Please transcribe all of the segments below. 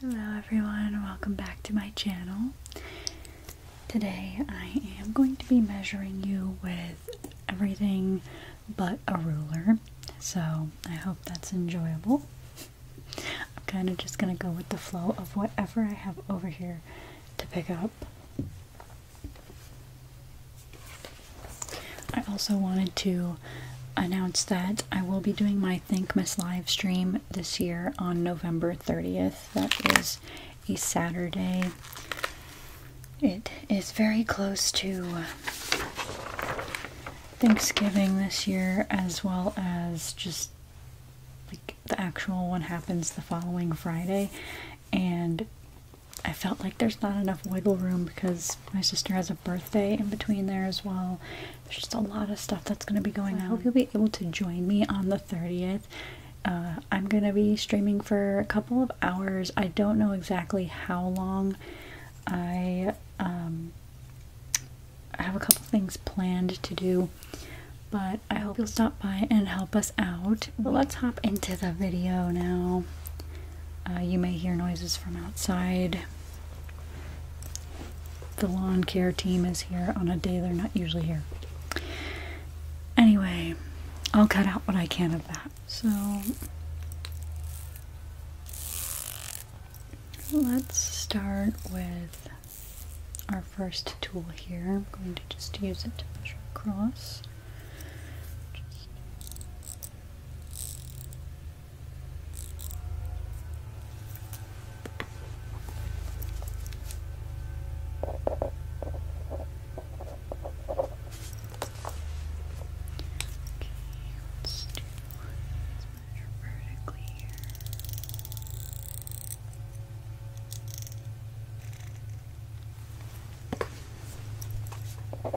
Hello everyone, welcome back to my channel. Today I am going to be measuring you with everything but a ruler, so I hope that's enjoyable. I'm kind of just going to go with the flow of whatever I have over here to pick up. I also wanted to Announced that I will be doing my Think Miss live stream this year on November 30th. That is a Saturday. It is very close to Thanksgiving this year, as well as just like the actual one happens the following Friday. And I felt like there's not enough wiggle room because my sister has a birthday in between there as well there's just a lot of stuff that's going to be going on. I hope you'll be able to join me on the 30th. Uh, I'm going to be streaming for a couple of hours. I don't know exactly how long. Um, I have a couple things planned to do, but I hope you'll stop by and help us out. let's hop into the video now. Uh, you may hear noises from outside. The lawn care team is here on a day they're not usually here. Anyway, I'll cut out what I can of that. So let's start with our first tool here. I'm going to just use it to measure across let's do let's measure vertically here. Okay,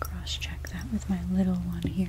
Cross check that with my little one here.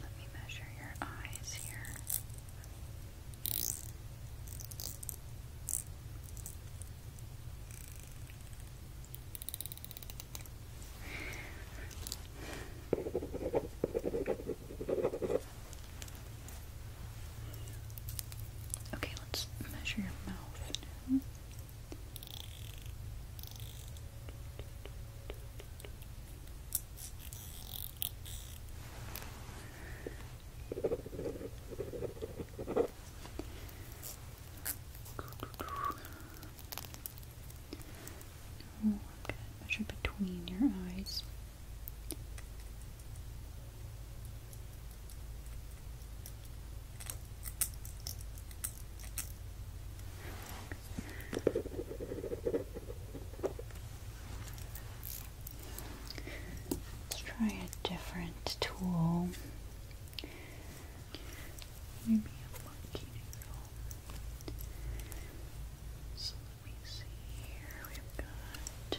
Let me measure your eyes here. Okay, let's measure your mouth now. I'm measure between your eyes. Let's try a different tool. Maybe a monkey needle. let me see here. We've got.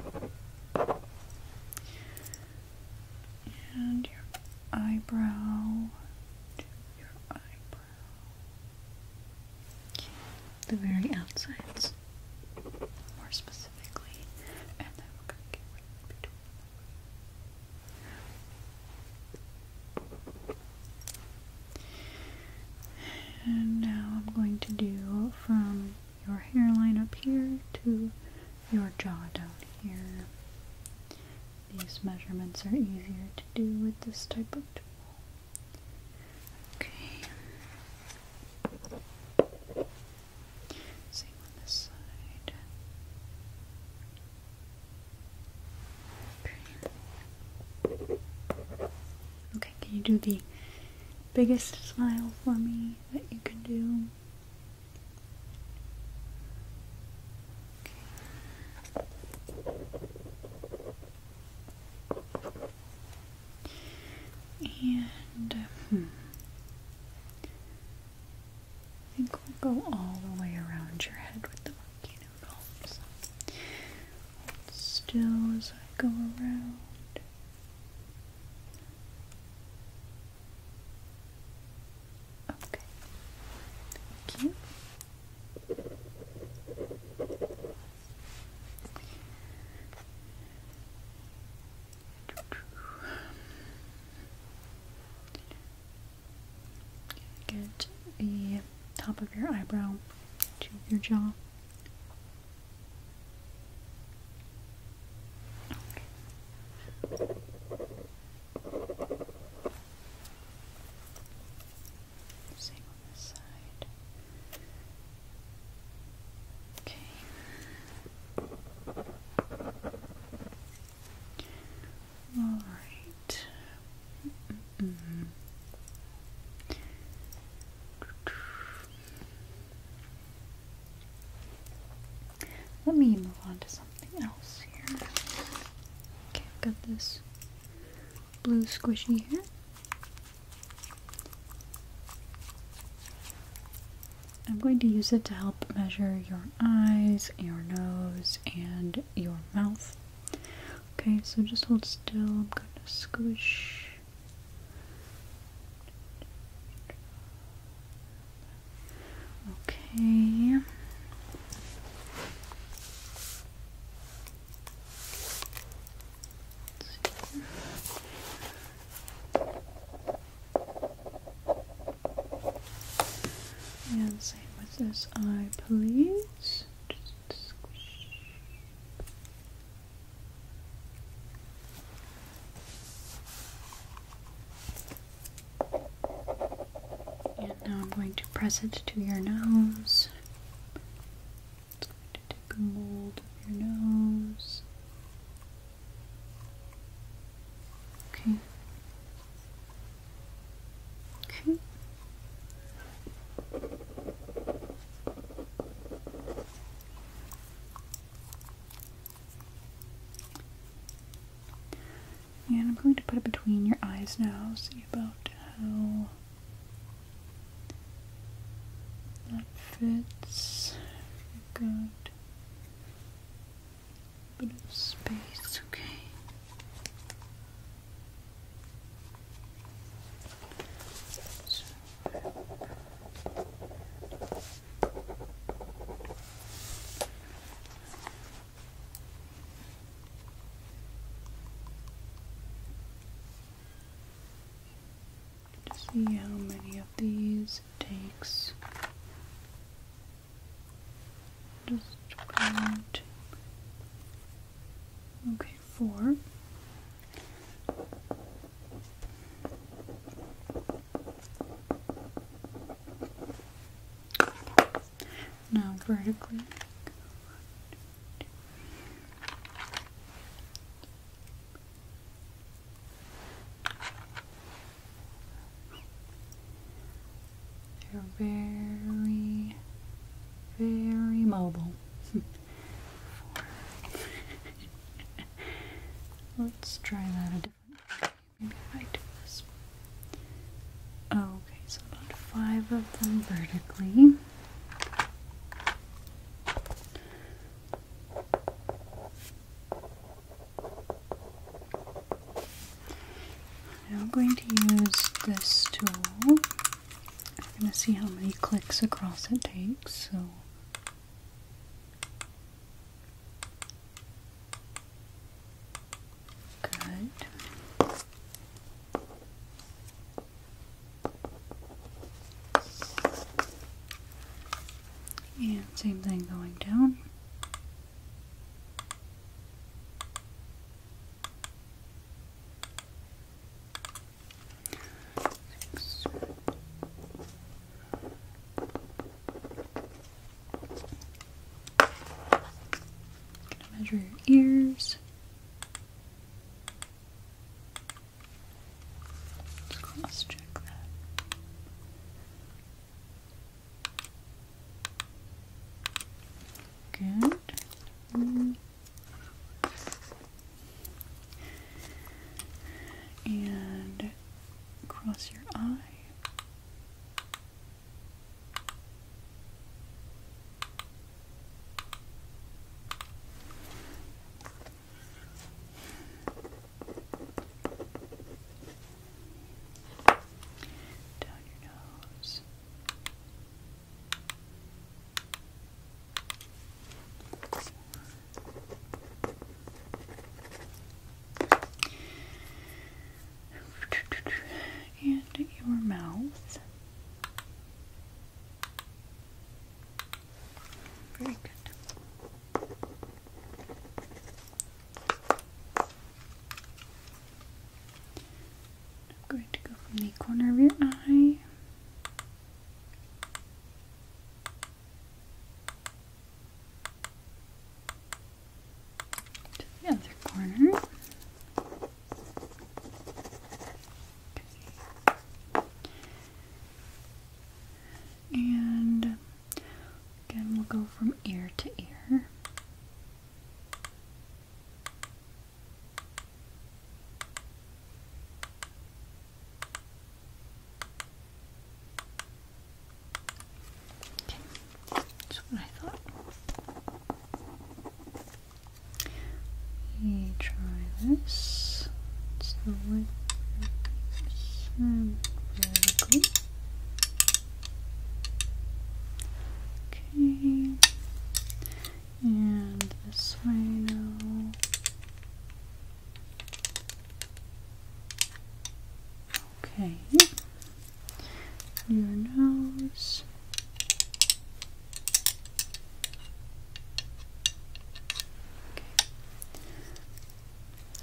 Okay. And your eyebrow your eyebrow. The very outsides, more specifically. And then we're gonna get between and now I'm going to do from your hairline up here to your jaw down here. These measurements are easier to do with this type of tool. Okay. Same on this side. Okay can you do the biggest smile for me that you can do? And uh, hmm. I think we'll go all the way around your head with the monkey noodles. still as I go around. Okay. Thank you. Get the top of your eyebrow to your jaw. Okay. Same on this side. Okay. All right. Let me move on to something else here. Okay, I've got this blue squishy here. I'm going to use it to help measure your eyes, your nose, and your mouth. Okay, so just hold still. I'm going to squish Okay. And same with this eye, please. Just squish. And now I'm going to press it to your nose. It's going to take a mold of your nose. Okay. Okay. And I'm going to put it between your eyes now, see about how that fits. got a bit of space, okay. See how many of these takes. Just count. Okay four. Now vertically. They're very, very mobile let Let's try that a different way. Maybe I do this. Oh, okay, so about five of them vertically. I'm going to use this tool we're going to see how many clicks across it takes. So good. And same thing going down measure your ears. Just cross check that. Good. Mm and cross your eye. Down your nose. And your mouth. Very good. I'm going to go from the corner of your eye the other corner. And again, we'll go from ear to ear. Okay, that's what I thought. Okay, try this. It's the wood. Vertical. Okay. And this way now. Okay. Your nose. Okay.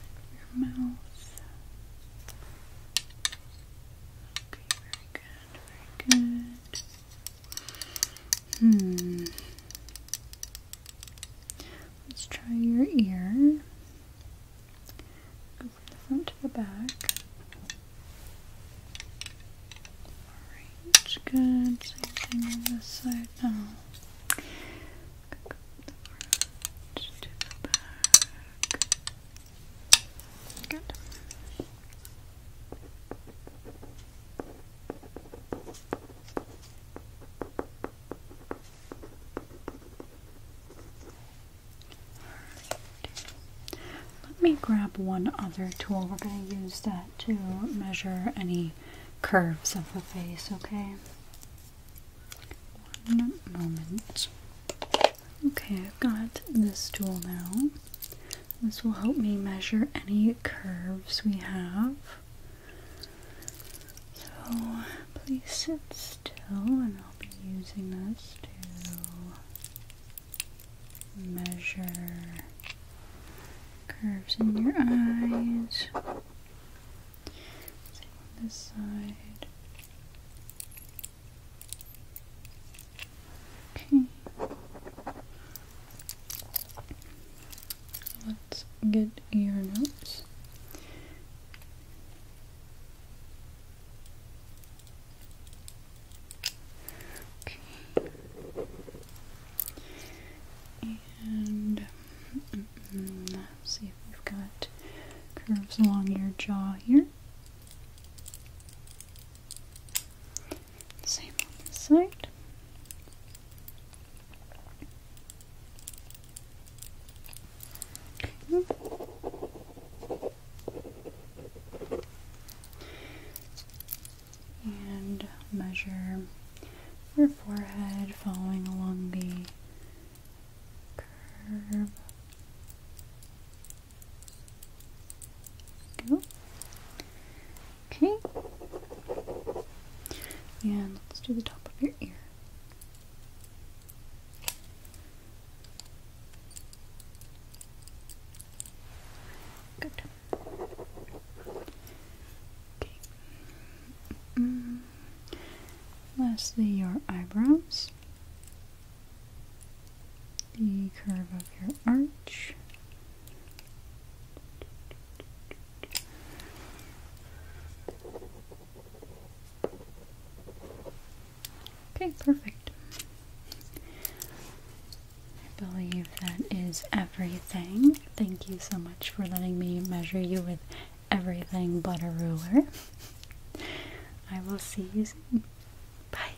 Your mouth. Okay, very good, very good. Hmm. Let's try your ear. Go from the front to the back. Alright, good. Same thing on this side now. Go the front to the back. Good. Let me grab one other tool. We're going to use that to measure any curves of the face, okay? One moment. Okay, I've got this tool now. This will help me measure any curves we have. So please sit still, and I'll be using this to measure curves in your eyes. this side. Okay. Let's get your notes. Okay. And see if you have got curves along your jaw here. Same on this side. And measure your forehead following along the curve Go. Okay. And let's do the top of your ear. Good. Okay. Lastly, your eyebrows the curve of your arch. Okay, perfect. I believe that is everything. Thank you so much for letting me measure you with everything but a ruler. I will see you soon. Bye.